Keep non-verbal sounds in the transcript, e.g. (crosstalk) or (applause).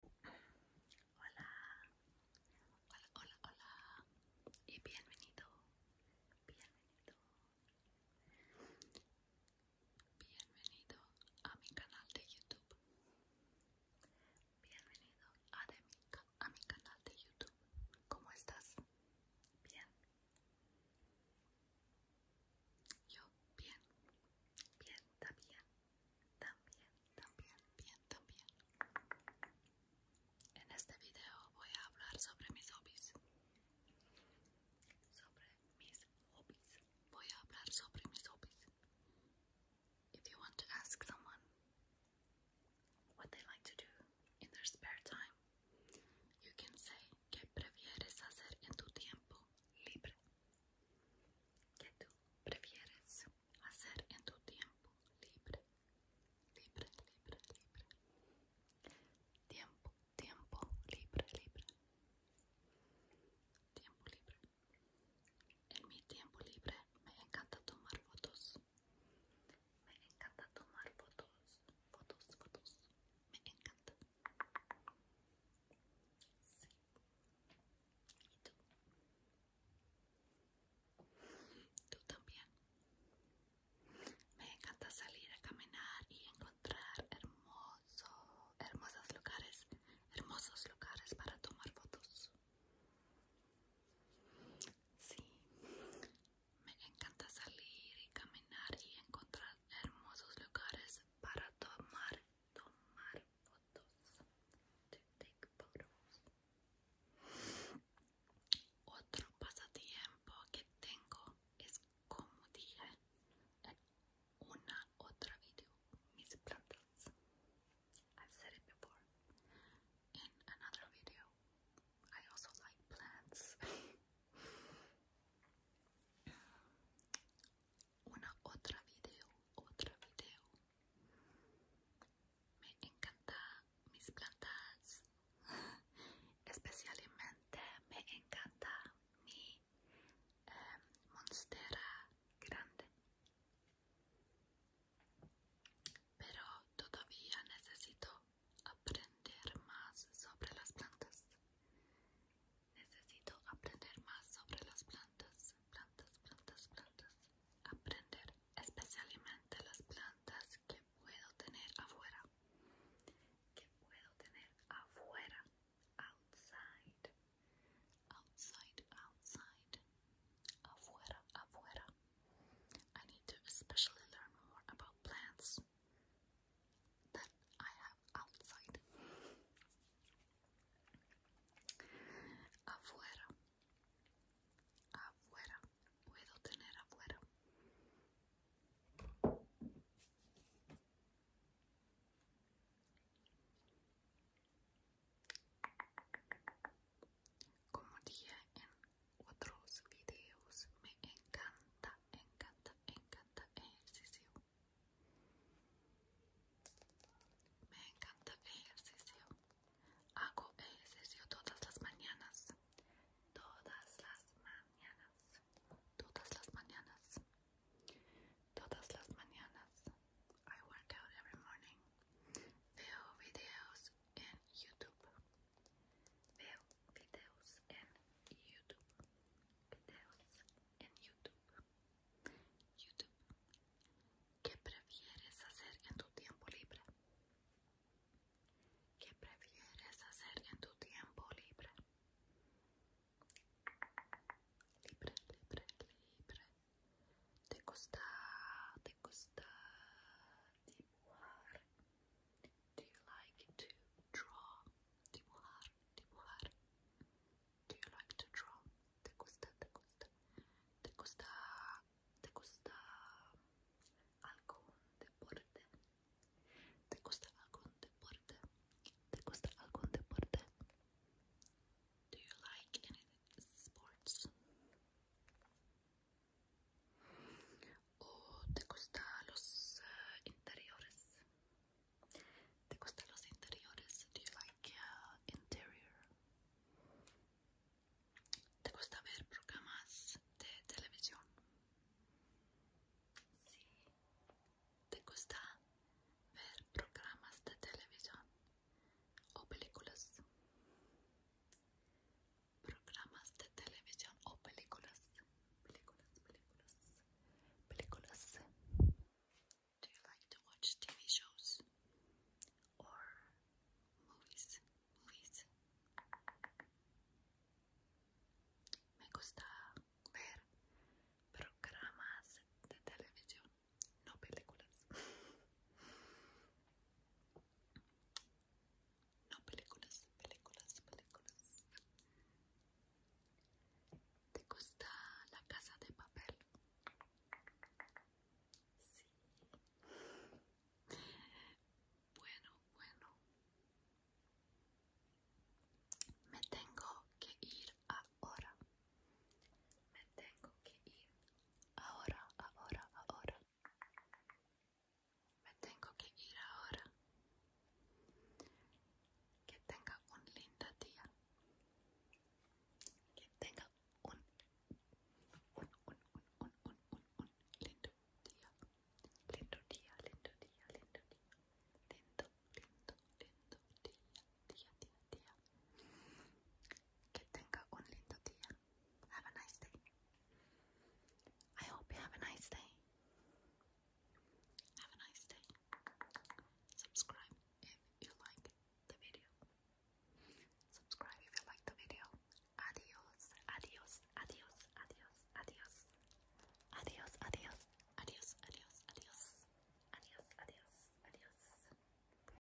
Hola, hola, hola, hola y bienvenido, bienvenido, bienvenido a mi canal de YouTube, bienvenido a, mi, a mi canal de YouTube. ¿Cómo estás? Bien. Yo bien, bien, está bien. También, también, bien, también. En este video voy a hablar sobre mis hobbies. Sobre mis hobbies. Voy a hablar sobre mis hobbies. If you want to ask someone what they like to do in their spare time, you can say, ¿qué prefieres hacer en tu tiempo libre? que tú prefieres hacer en tu tiempo libre, libre, libre, libre, tiempo, tiempo, libre, libre, tiempo libre. En mi tiempo libre me encanta tomar fotos, me encanta tomar fotos, fotos, fotos, me encanta. Sí. Y tú. también. Me encanta salir a caminar y encontrar hermosos hermosos lugares, hermosos lugares para tomar fotos. Sí, me encanta salir y caminar y encontrar hermosos lugares para tomar tomar fotos, to take photos. Otro pasatiempo que tengo es como dije una otra video, mis plantas. i said it before in another video. I also like plants. (laughs) una otra video, otra video. Me encantan mis plantas, (laughs) especialmente me encanta mi em, monstera grande. Pero todavía necesito aprender más sobre las plantas. Necesito aprender más sobre las plantas, plantas, plantas, plantas. Aprender especialmente las plantas que puedo tener afuera. Que puedo tener afuera. Outside. Outside, outside. Afuera, afuera. I need to especially learn more about plants that I outside. Afuera. Afuera. Puedo tener afuera. Como dije en otros videos, me encanta encanta, encanta ejercicio. Me encanta ejercicio. Hago ejercicio todas las mañanas. Todas las mañanas. Todas las mañanas. Todas las mañanas. I work out every morning. Veo videos en YouTube. Veo videos en YouTube. Videos en YouTube. YouTube. ¿Qué prefieres hacer en tu tiempo libre? ¿Qué prefieres hacer en tu tiempo libre? Libre, libre, libre. Te gusta, te gusta dibujar. Do you like to draw? Dibujar, dibujar. Do you like to draw? Te gusta, te gusta. Te gusta, te gusta algún deporte. Te gusta algún deporte. Te gusta algún deporte. Do you like any sports? te gusta eh, los interiores te gustan los interiores interior te gusta ver programas de televisión sí te gusta ver programas de televisión o películas programas de televisión o películas. Películas, películas, películas. Do you like to watch TV shows or movies? Movies. Me gusta ver programas de televisión, no películas. (laughs) No, películas, películas, películas. ¿Te gusta la casa de papel? Sí. Bueno, bueno. Me tengo que ir ahora. Me tengo que ir ahora, ahora, ahora. Me tengo que ir ahora. Que tenga un lindo día. Que tenga un, un, un, un, un, un, un lindo día. Lindo día, lindo día, lindo día. Lindo, lindo, lindo día, día, día, día. Que tenga un lindo día. Have a nice day. I hope you have a nice day. Have a nice day. Subscribe if you like the video. Subscribe if you like the video. Adios, adios, adios, adios, adios. Adios, adios, adios, adios, adios. Adios, adios, adios.